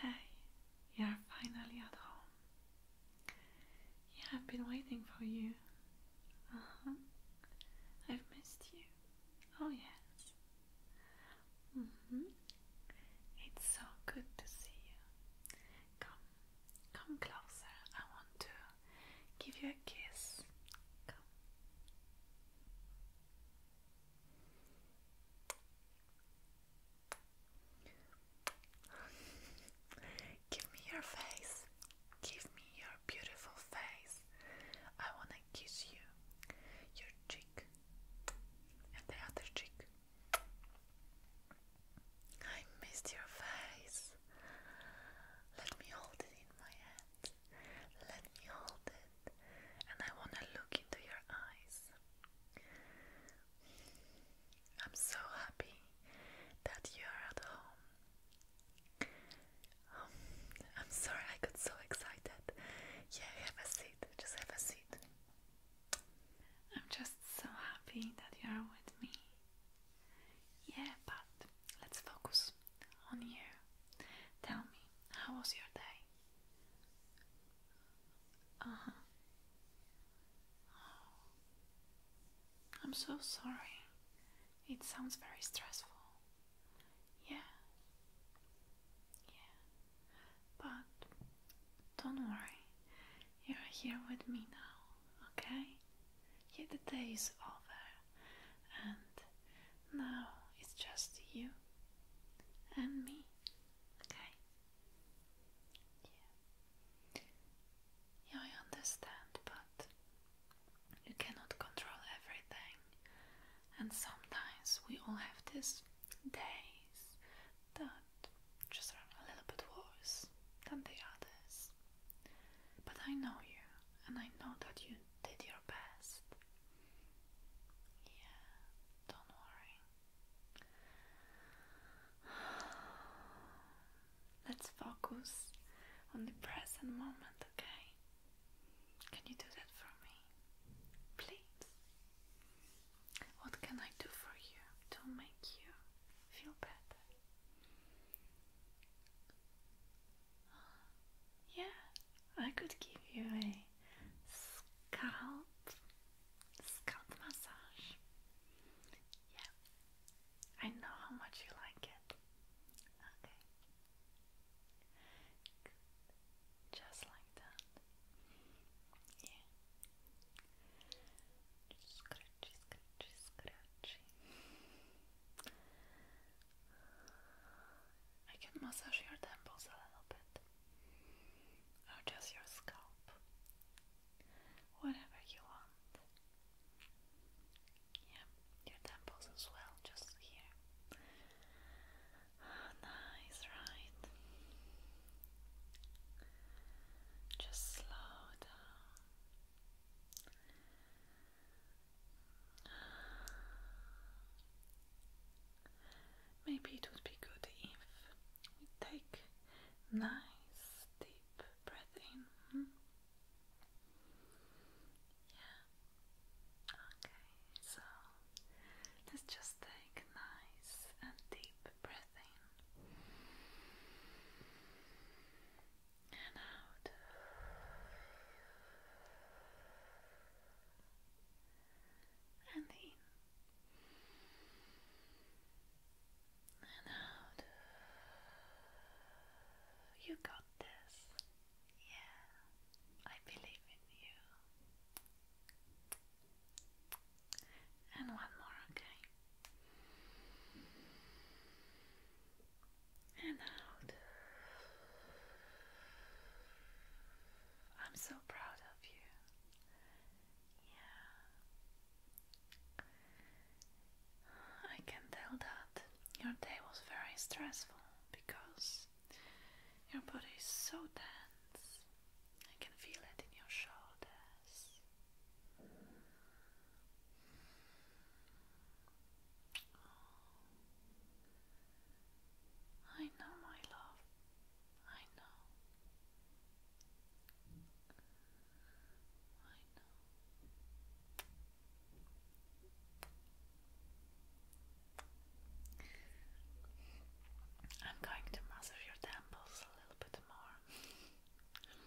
Hey, you're finally at home. Yeah, I've been waiting for you. Uh huh. I've missed you. Oh, yes. hmm. It's so good to see you. Come, come closer. I want to give you a kiss. Come. Give me your face. Give me your beautiful face. I want to kiss you. Your cheek and the other cheek. I missed your face. Let me hold it in my hand. Let me hold it and I want to look into your eyes. I'm so happy that you are at home. Um, I'm sorry I got so excited. Yeah, have a seat. Just have a seat. I'm just so happy that you are with me. Yeah, but let's focus on you. Tell me, how was your day? Uh-huh. I'm so sorry. It sounds very stressful. Yeah. Yeah. But don't worry. You're here with me now, okay? Yeah, the day is over and now it's just you and me. Okay? Yeah. Yeah, I understand, but you cannot control everything. And sometimes we all have these days that just are a little bit worse than the others. But I know you, and I know that you did your best. Yeah, don't worry. Let's focus on the present moment, okay? Can you do that for me? Please. What can I do for you to make you feel better? Yeah, I could give you a scalp scalp massage. Yeah, I know how much you like it. Okay, just like that. Yeah, scratchy, scratchy, scratchy. I can massage your temples a little bit, or just your scalp, whatever you want. Yeah, your temples as well, just here. Ah, nice, right? Just slow down. Maybe it would be good if we take nice deep breath in. Hmm? Yeah. Okay, so let's just take nice and deep breath in and out and in and out. You got this. Yeah, I believe in you. And one more, okay? and out. I'm so proud of you. Yeah. I can tell that your day was very stressful because your body is so tense. I can feel it in your shoulders. Oh. I know, my love. I know. I know. I'm going to massage your temples a little bit more. and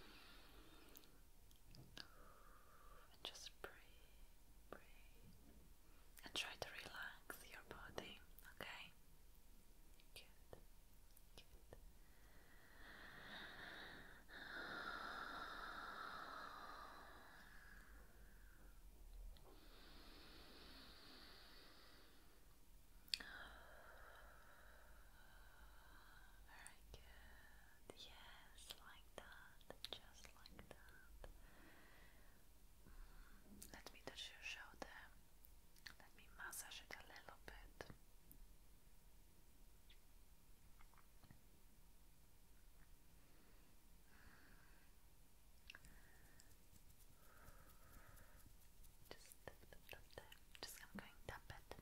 just breathe, breathe, and try to relax your body, okay? Very good. Yes, like that. Just let me touch your shoulder. Let me massage it a little bit. Just tap, tap, Just I'm going to tap to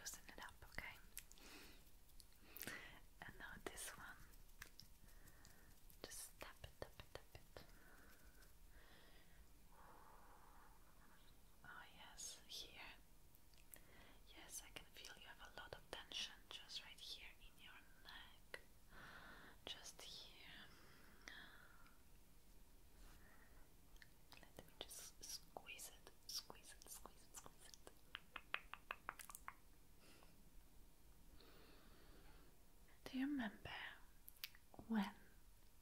loosen it up, okay? And now this one. Just tap it, tap it, tap it. Oh yes, here. Yes, I can feel you have a lot of tension just right here in your neck. Just here. Let me just squeeze it, squeeze it, squeeze it, squeeze it. Do you remember when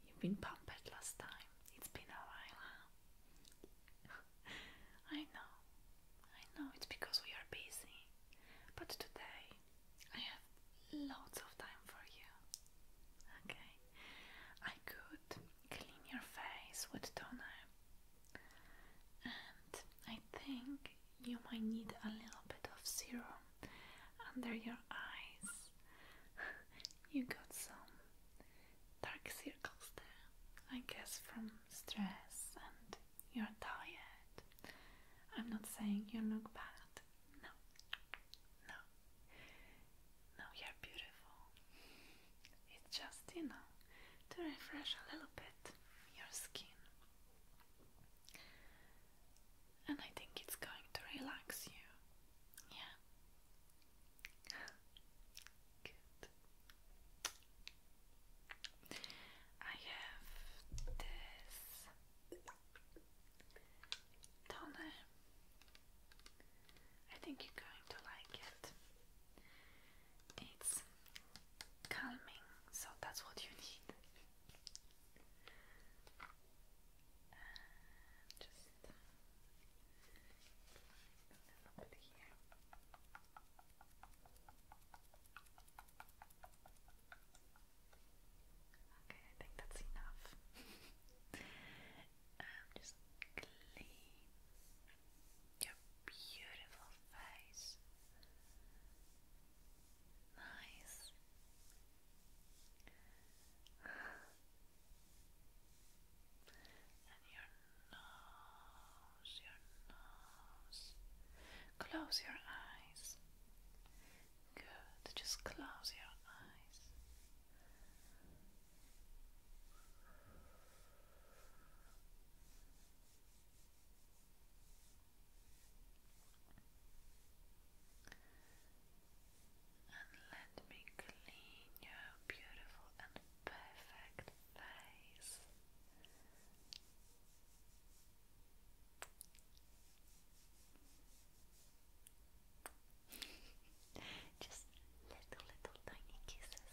you've been pumped last time? It's been a while, I know, I know it's because we are busy, but today I have lots of time for you. Okay, I could clean your face with toner, and I think you might need a little bit of serum under your eyes. you got some dark circles there, I guess, from stress and you're tired. I'm not saying you look bad. No, no, no, you're beautiful. It's just, you know, to refresh a little bit your skin. And I think it's going to relax you. Yeah. Good. I have this toner. I think you're going to like it it's calming, so that's what you need. just a little bit here. Okay, I think that's enough. Um, just clean your beautiful face. Nice. And your nose, your nose. Close your eyes. Good, just close your eyes. And let me clean your beautiful and perfect face. Just little, little tiny kisses.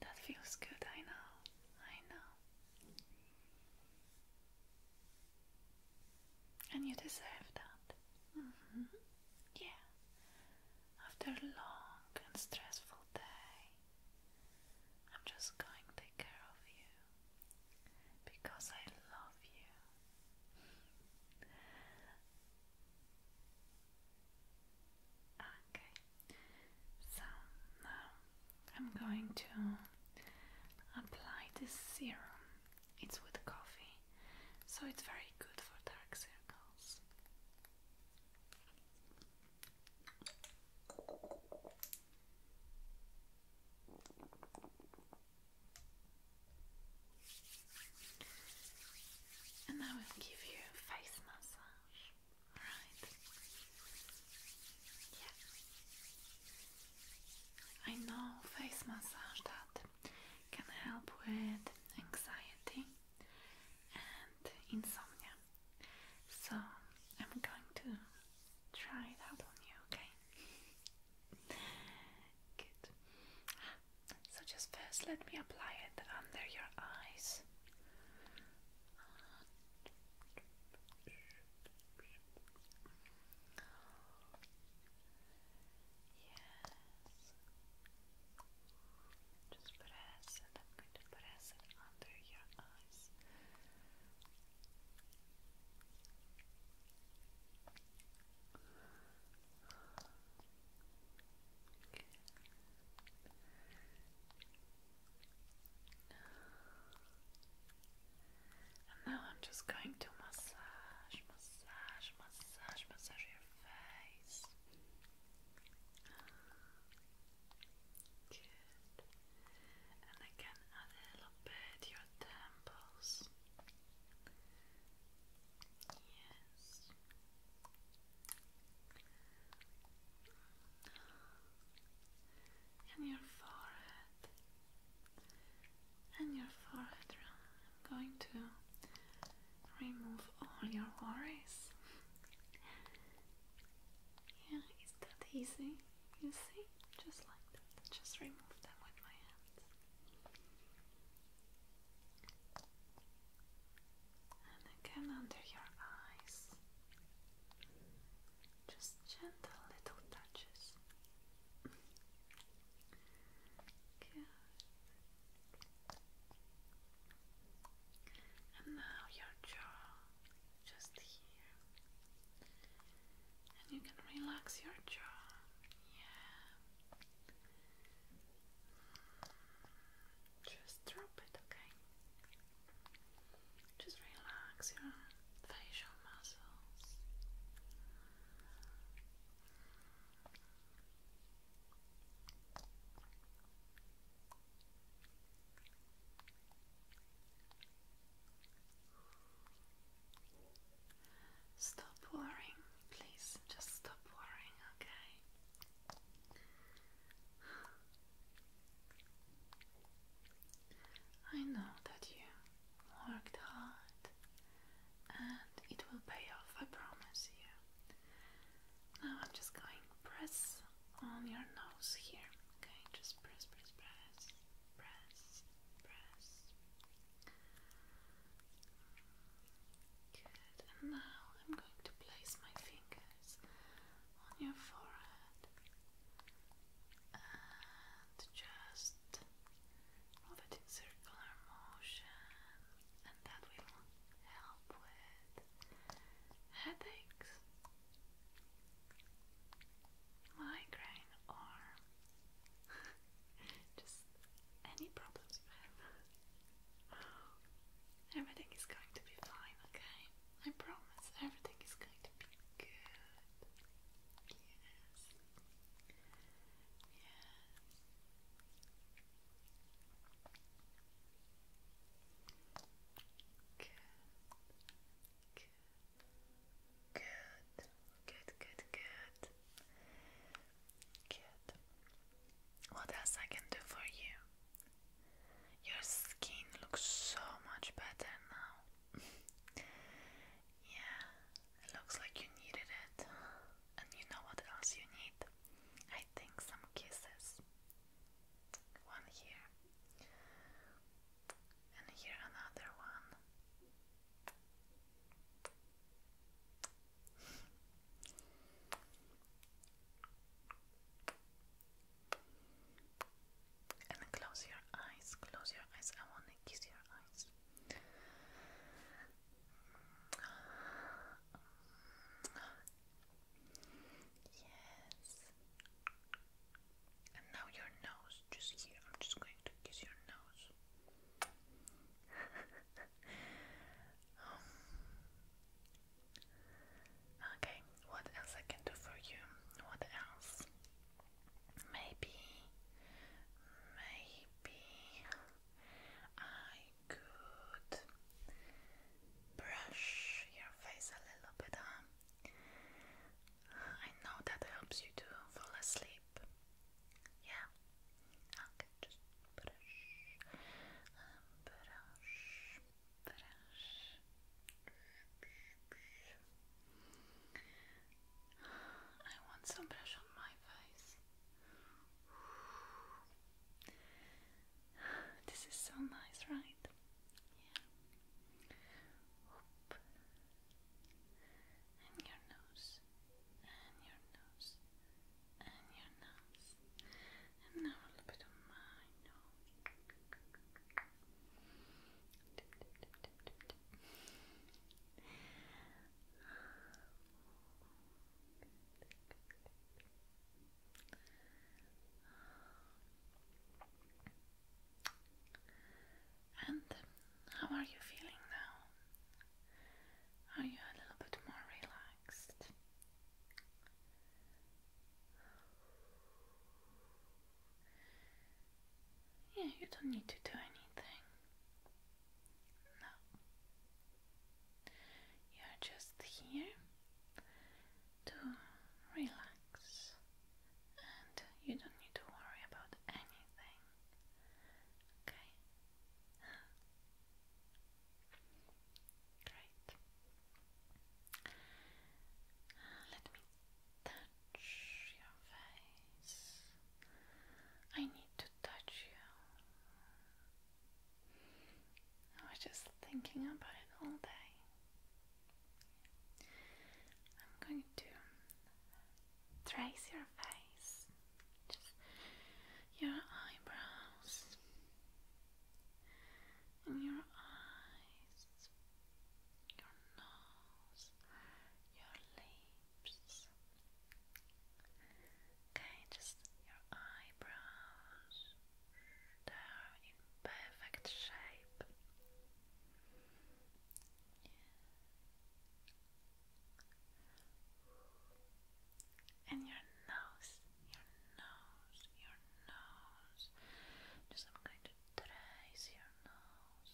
That feels good, I know, I know. And you deserve that. Mm -hmm. Yeah, after a long and stressful day, I'm just going to take care of you because I love you. Okay, so now I'm going to apply this serum. It's with coffee, so it's very good for dark circles. And I will give you a face massage. Alright. Yeah. I know face massage that can help with anxiety and insomnia. So I'm going to try it out on you, okay? Good. So just first let me apply it under your eyes. Yes. Just press it. I'm going to press it under your eyes. And now I'm just going to massage, massage, massage, massage your face. Good. And again, a little bit your temples. Yes. And your forehead. And your forehead going to remove all your worries. Yeah, it's that easy. You see? Just like that. Just remove them with my hands. And again under your eyes. Just gentle little touches. Good. And now your jaw just here. And you can relax your jaw. Yeah. Just drop it, okay? Just relax your facial muscles. Stop worrying, please. Just stop worrying, okay? I know that you worked hard and it will pay off, I promise you. Now I'm just going press on your nose here. Okay, just press, press, press, press, press. Good, and now I'm going to place my fingers on your forehead and just move it in circular motion and that will help with headaches, migraine, or just any problems you have. Everything is going to be fine, okay? I promise everything is going to be good. Yes. Yeah. Good. Good. Good. Good. Good. Good. What else I can do for you? Your skin looks so much better now. yeah, it looks like you needed it. And you know what else you need? I think some kisses. One here. And here another one. And close your eyes, close your eyes. I want to kiss your eyes. Yes. And now your nose, just here. I'm just going to kiss your nose. um, okay, what else I can do for you? What else? Maybe, maybe. I could brush your face a little bit, huh? I know that helps you to fall asleep. Yeah? Okay, just brush, um, brush, brush. I want some brush on my face. This is so nice, right? And your nose, and your nose, and your nose, and now a little bit of my nose. And how are you feeling now? Are you a little bit more relaxed? Yeah, you don't need to do anything. No. You are just here to relax and you don't need to worry about anything. Okay? Great. let me touch your face. I need to touch you. I was just thinking about it all day. I'm going to trace your face, just your eyebrows, and your eyes, your nose, your lips, Okay, just your eyebrows. They are in perfect shape. And your nose, your nose, your nose. Just I'm going to trace your nose.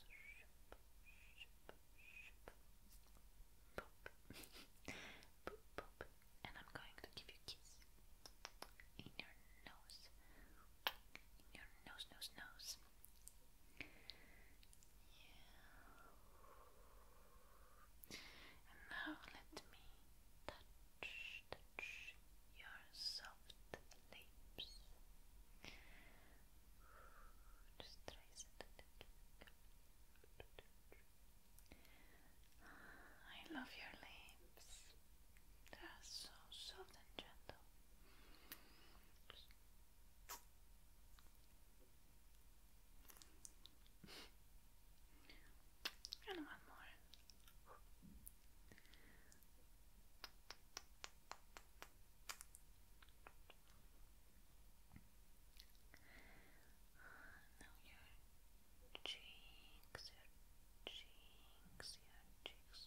Boop, And I'm going to give you a kiss in your nose, in your nose, nose, nose. Yeah. And now let me touch, your soft lips, Ah, I love your lips. They are so soft and gentle. And one more. Now your cheeks, your cheeks, your cheeks.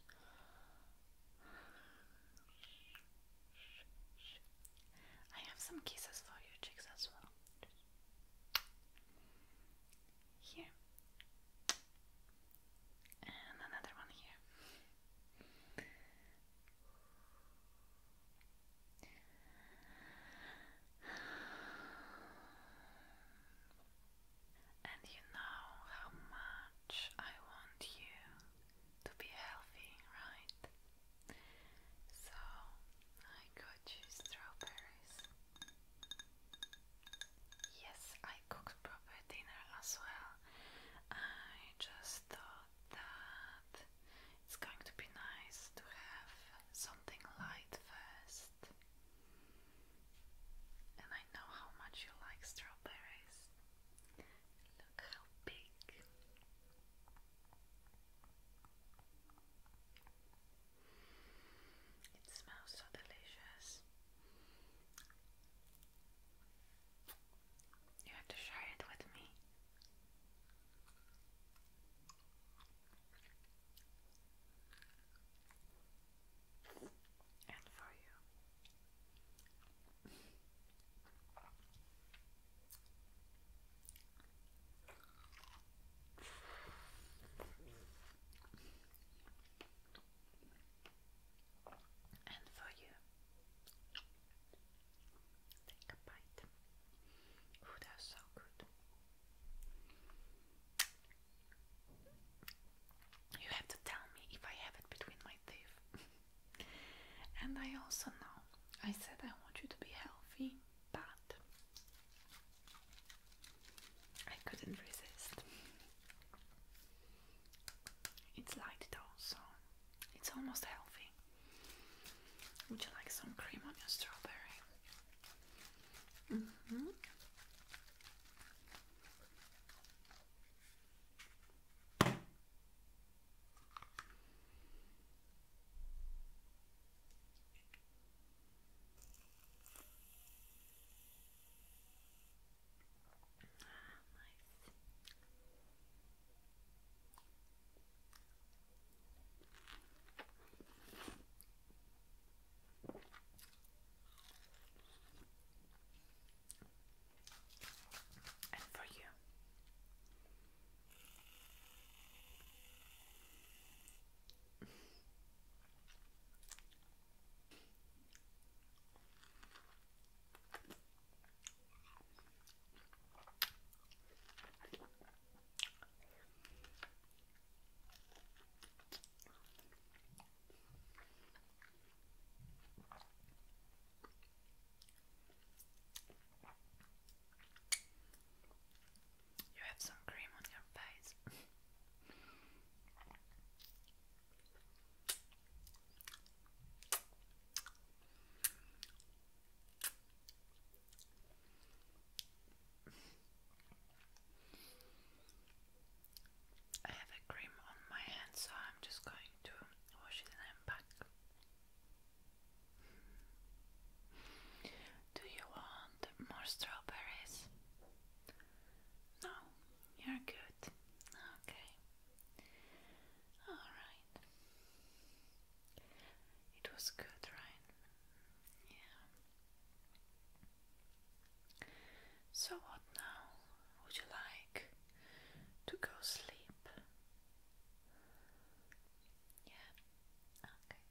I have some kisses for your cheeks as well. Here. And another one here. And you know how much I want you to be healthy, right? So I got strawberries. Yes, I cooked proper dinner as well. I just thought that it's going to be nice to have something light first. And I know how much you like strawberries. Look how big. It smells so delicious. You have to share it with me and for you. And for you. Take a bite. Oh, that's so good. You have to tell me if I have it between my teeth. and I also know I said I want you to be healthy, but I couldn't resist. It's light though, so it's almost healthy. Would you like some cream on your strawberry? Mm-hmm. Wow, And for you. You have some cream on your face. I have a cream on my hand, so I'm just going to wash it and back. Do you want more strawberries? No, you're good. Okay. Alright. It was good, right? Yeah. So, what now? Would you like to go sleep? Yeah. Okay.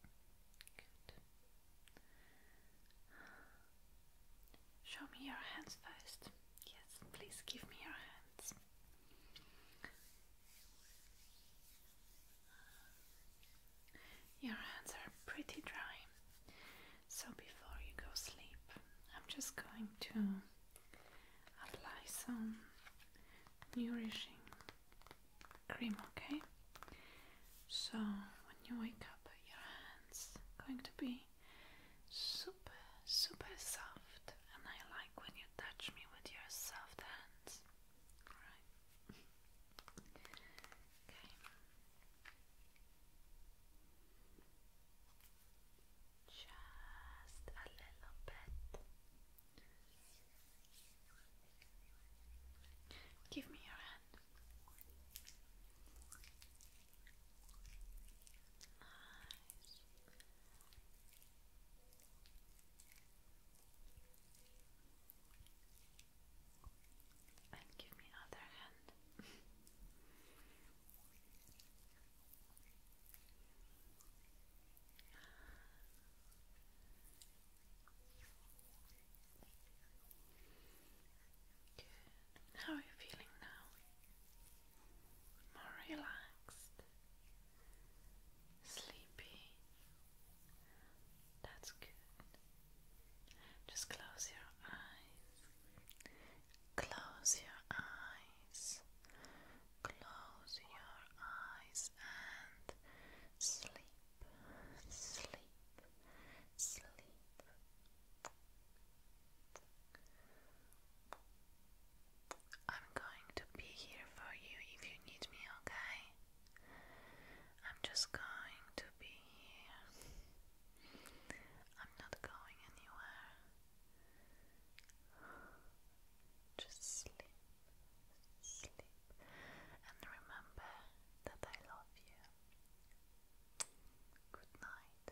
Good. Show me your hands first. Yes, please give me your hands. Your hands are pretty dry, so before you go sleep, I'm just going to apply some nourishing cream, okay? So when you wake up, your hands are going to be so super, soft, and I like when you touch me with your soft hands. Alright. okay. Just a little bit. Give me your hand. Nice. And give me other hand. Good. How are you feeling now? more relaxed, sleepy. That's good. Just close your eyes. Close your eyes. Close your eyes and sleep, sleep, sleep. I'm going to be here for you if you need me, okay? I'm just going to be here. I'm not going anywhere. Just sleep, sleep, and remember that I love you. Good night.